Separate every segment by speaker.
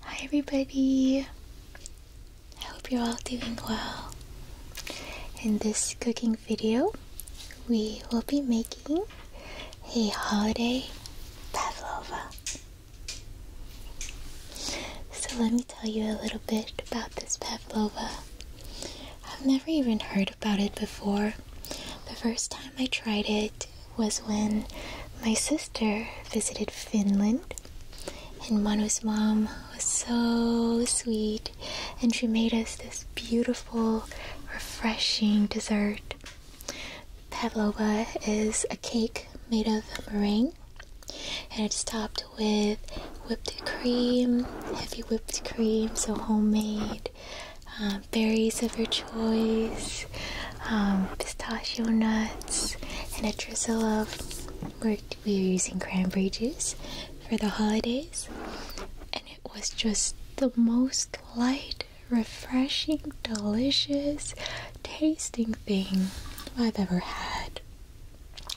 Speaker 1: Hi, everybody. I hope you're all doing well. In this cooking video, we will be making a holiday pavlova. So, let me tell you a little bit about this pavlova. I've never even heard about it before. The first time I tried it, was when my sister visited Finland, and Manu's mom was so sweet, and she made us this beautiful, refreshing dessert. Pavlova is a cake made of meringue, and it's topped with whipped cream, heavy whipped cream, so homemade, uh, berries of your choice um, pistachio nuts, and a drizzle of. We're, were using cranberry juice for the holidays, and it was just the most light, refreshing, delicious tasting thing I've ever had.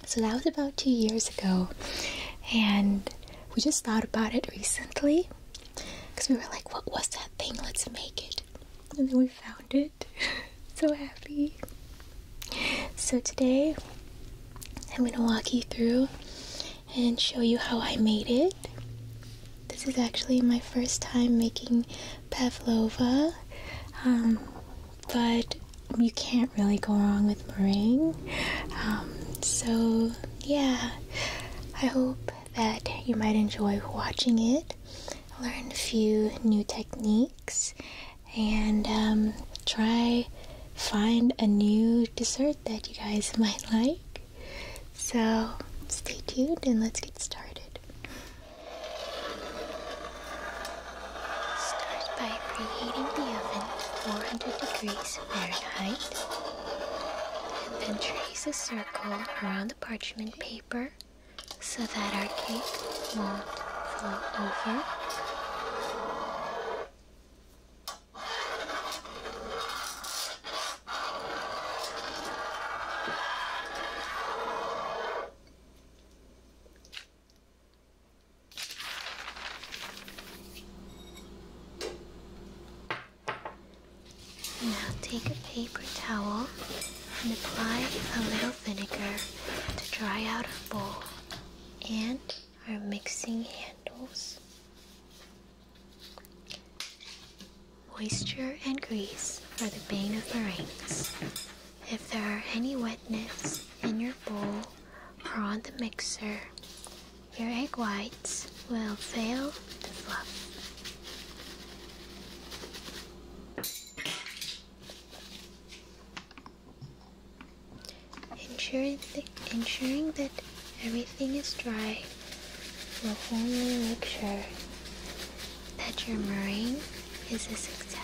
Speaker 1: So that was about two years ago, and we just thought about it recently because we were like, what was that thing? Let's make it and then we found it. so happy. So today I'm gonna walk you through and show you how I made it. This is actually my first time making pavlova, um, but you can't really go wrong with meringue. Um, so yeah, I hope that you might enjoy watching it learn a few new techniques, and um, try find a new dessert that you guys might like. So stay tuned and let's get started. Start by preheating the oven to 400 degrees Fahrenheit, and then trace a circle around parchment paper so that our cake won't fall over. Now take a paper towel and apply a little vinegar to dry out our bowl and our mixing handles. Moisture and grease are the bane of meringues. If there are any wetness in your bowl or on the mixer, your egg whites will fail to flop. Ensuring, ensuring that everything is dry will only make sure that your meringue is a success.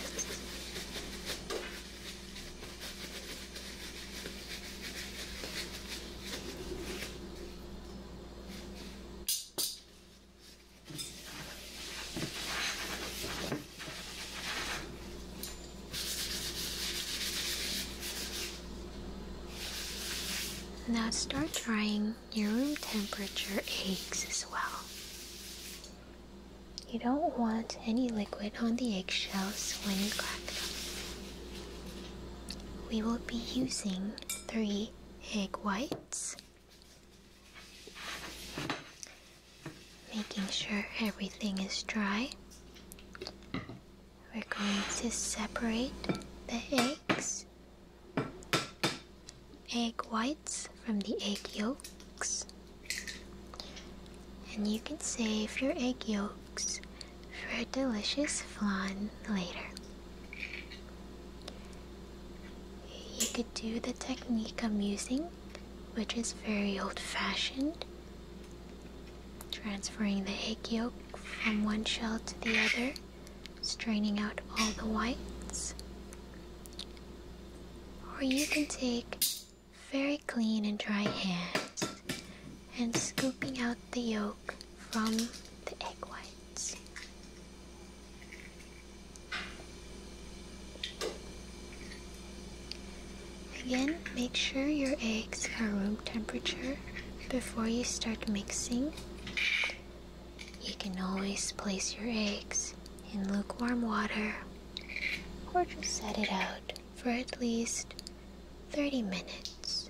Speaker 1: Now start drying your room temperature eggs as well. You don't want any liquid on the eggshells when you crack them we will be using three egg whites, making sure everything is dry. We're going to separate the eggs, egg whites from the egg yolks. And you can save your egg yolks cakes for delicious flan later. You could do the technique I'm using, which is very old fashioned, transferring the egg yolk from one shell to the other, straining out all the whites. Or you can take very clean and dry hands and scooping out the yolk from the egg whites. Again, make sure your eggs are room temperature before you start mixing. You can always place your eggs in lukewarm water or just set it out for at least 30 minutes.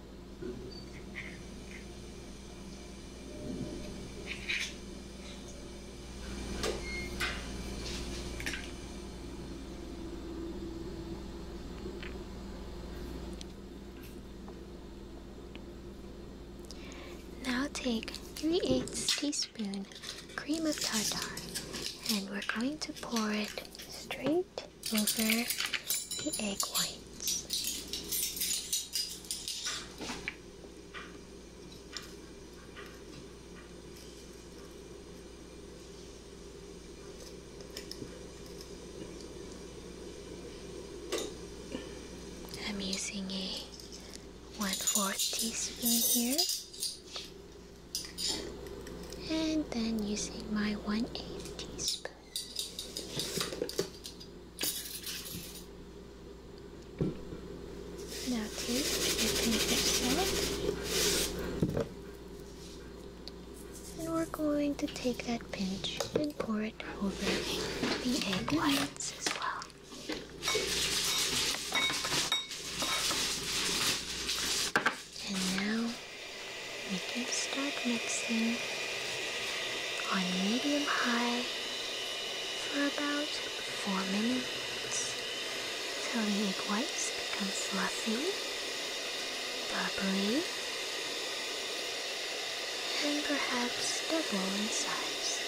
Speaker 1: Now take 3 eighths teaspoon cream of tartar and we're going to pour it straight over the egg whites. I'm using a one fourth teaspoon here and then using my one eighth teaspoon. Now take your paper and we're going to take that pinch and pour it over the egg whites as well. And now we can start mixing on medium high for about 4 minutes until the egg whites become fluffy, bubbly, and perhaps double in size.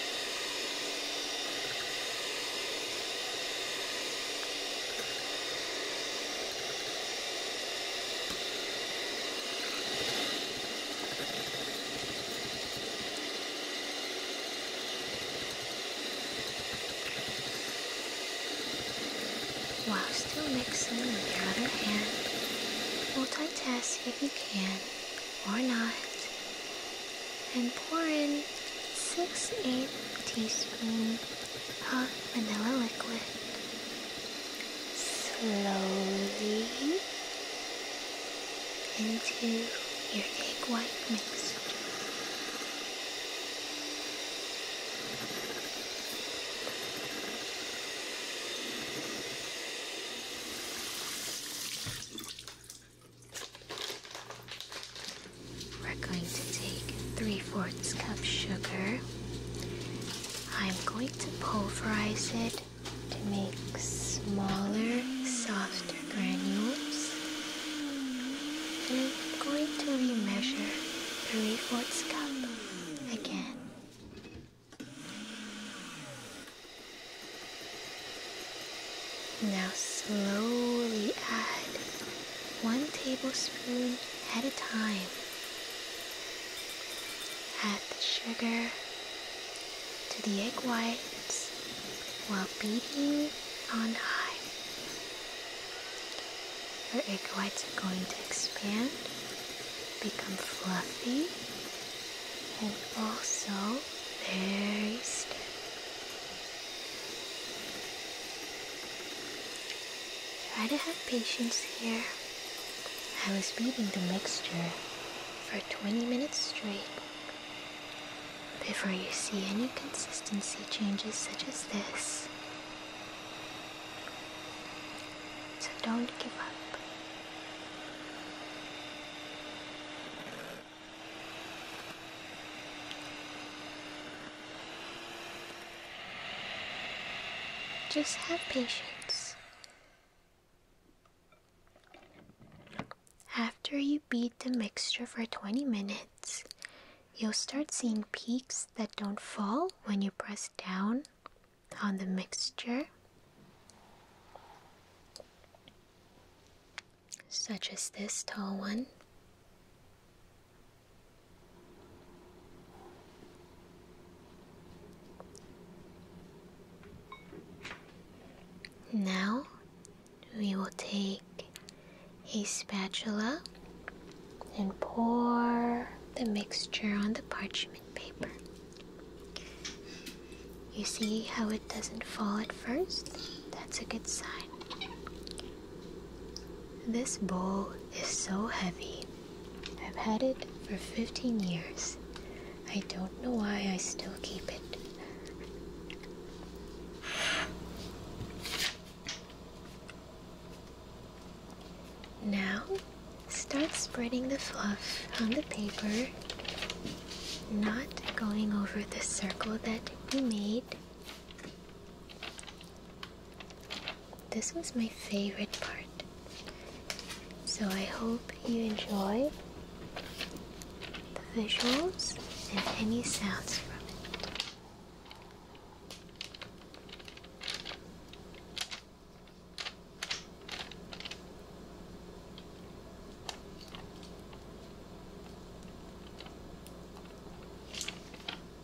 Speaker 1: While still mixing with your other hand, multitask if you can or not, and pour in 6 8 teaspoons of vanilla liquid slowly into your egg white mixture. We're going to take three fourths cup sugar I'm going to pulverize it to make smaller, softer granules. And I'm going to remeasure 3 fourths cup again. Now slowly add one tablespoon at a time Add the sugar to the egg whites while beating on high. Your egg whites are going to expand, become fluffy, and also very stiff. Try to have patience here. I was beating the mixture for 20 minutes straight before you see any consistency changes such as this. So don't give up. Just have patience. After you beat the mixture for 20 minutes, you'll start seeing peaks that don't fall when you press down on the mixture, such as this tall one. Now we will take a spatula and pour the mixture on the parchment paper. You see how it doesn't fall at first? That's a good sign. This bowl is so heavy. I've had it for 15 years. I don't know why I still keep it. Now, start spreading the fluff on the paper, not going over the circle that you made. This was my favorite part. So I hope you enjoy the visuals and any sounds from it.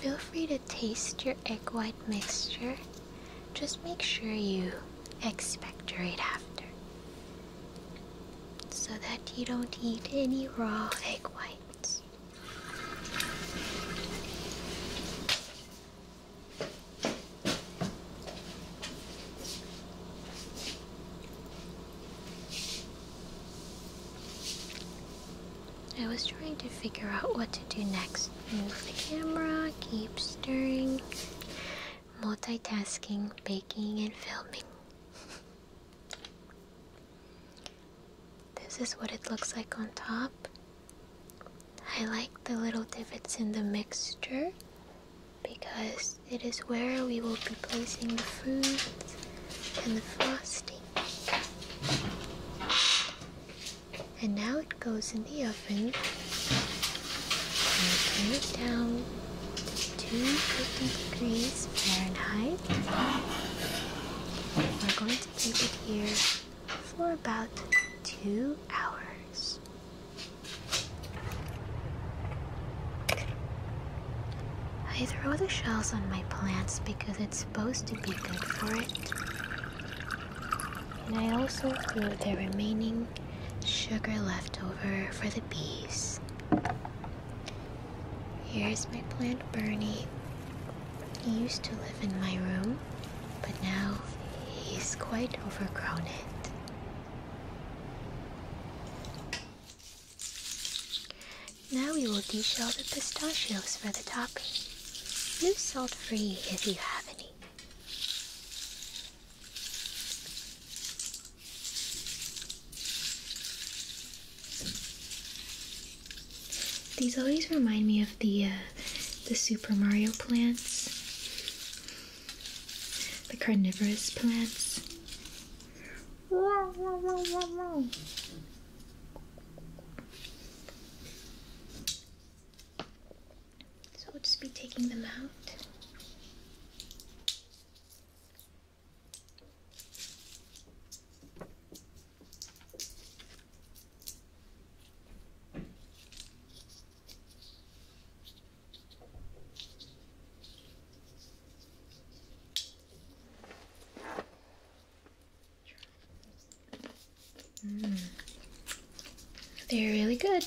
Speaker 1: Feel free to taste your egg white mixture. Just make sure you expectorate after so that you don't eat any raw egg whites. I was trying to figure out what to do next. Move the camera, keep stirring, multitasking, baking, and filming. this is what it looks like on top. I like the little divots in the mixture because it is where we will be placing the fruit and the frosting. And now it goes in the oven. And turn it down to 250 degrees Fahrenheit. We're going to keep it here for about two hours. I throw the shells on my plants because it's supposed to be good for it. And I also throw the remaining sugar left over for the bees. Here's my plant Bernie. He used to live in my room, but now he's quite overgrown it. Now we will deshell the pistachios for the topping. Use salt free if you have any. These always remind me of the uh, the Super Mario plants, the carnivorous plants. So we'll just be taking them out. They're really good.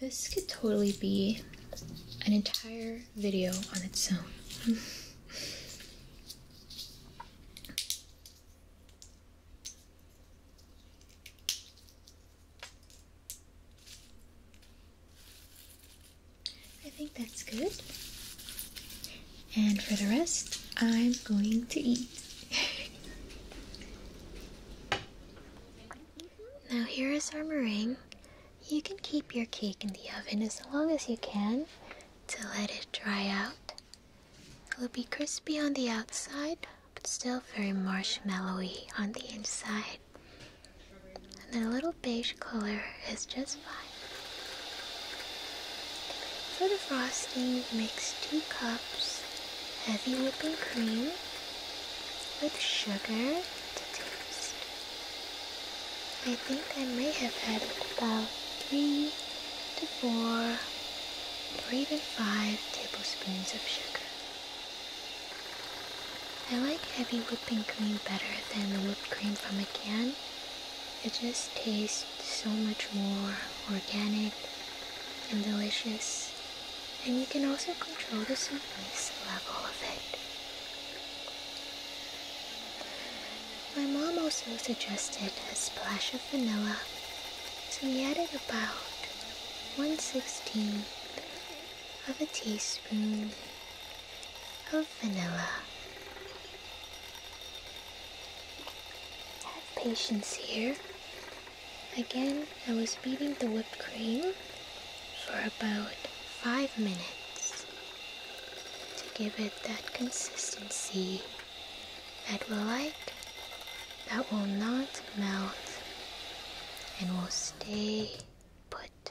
Speaker 1: This could totally be an entire video on its own. I think that's good. And for the rest, I'm going to eat. now, here is our meringue. You can keep your cake in the oven as long as you can to let it dry out. It will be crispy on the outside but still very marshmallowy on the inside. And the little beige color is just fine. For the frosting, mix 2 cups heavy whipping cream with sugar to taste. I think I may have had about 3 to 4 or even 5 tablespoons of sugar. I like heavy whipping cream better than the whipped cream from a can. It just tastes so much more organic and delicious. And you can also control the sweetness level of it. My mom also suggested a splash of vanilla, so we added about one 116 of a teaspoon of vanilla. Have patience here. Again, I was beating the whipped cream for about five minutes to give it that consistency that will like, that will not melt, and will Stay put.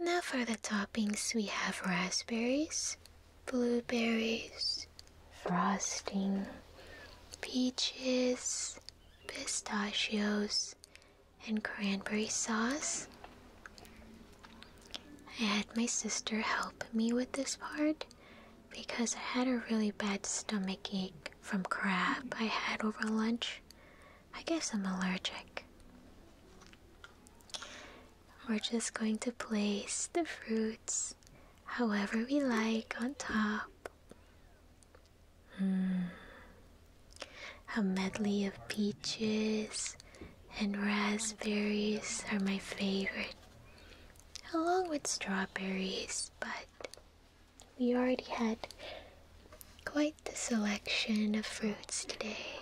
Speaker 1: Now for the toppings, we have raspberries, blueberries, frosting, peaches, pistachios, and cranberry sauce. I had my sister help me with this part because I had a really bad stomach ache from crab I had over lunch. I guess I'm allergic. We're just going to place the fruits however we like on top. Mm. A medley of peaches, and raspberries are my favorite, along with strawberries, but we already had quite the selection of fruits today.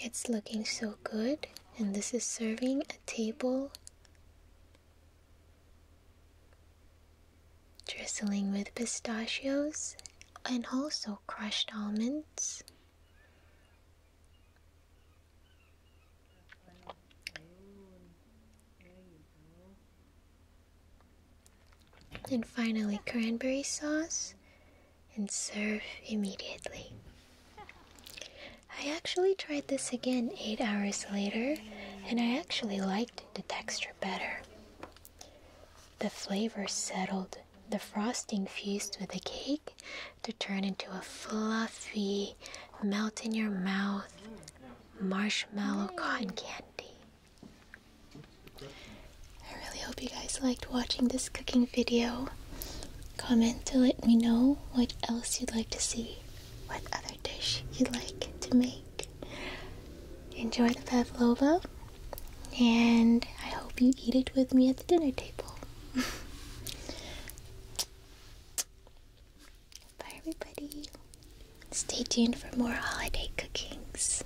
Speaker 1: It's looking so good, and this is serving a table Drizzling with pistachios and also crushed almonds. And finally, cranberry sauce and serve immediately. I actually tried this again 8 hours later and I actually liked the texture better. The flavor settled, the frosting fused with the cake to turn into a fluffy, melt in your mouth marshmallow cotton candy. I really hope you guys liked watching this cooking video. Comment to let me know what else you'd like to see, what other dish you'd like to make enjoy the pavlova, and I hope you eat it with me at the dinner table. Bye, everybody. Stay tuned for more holiday cookings.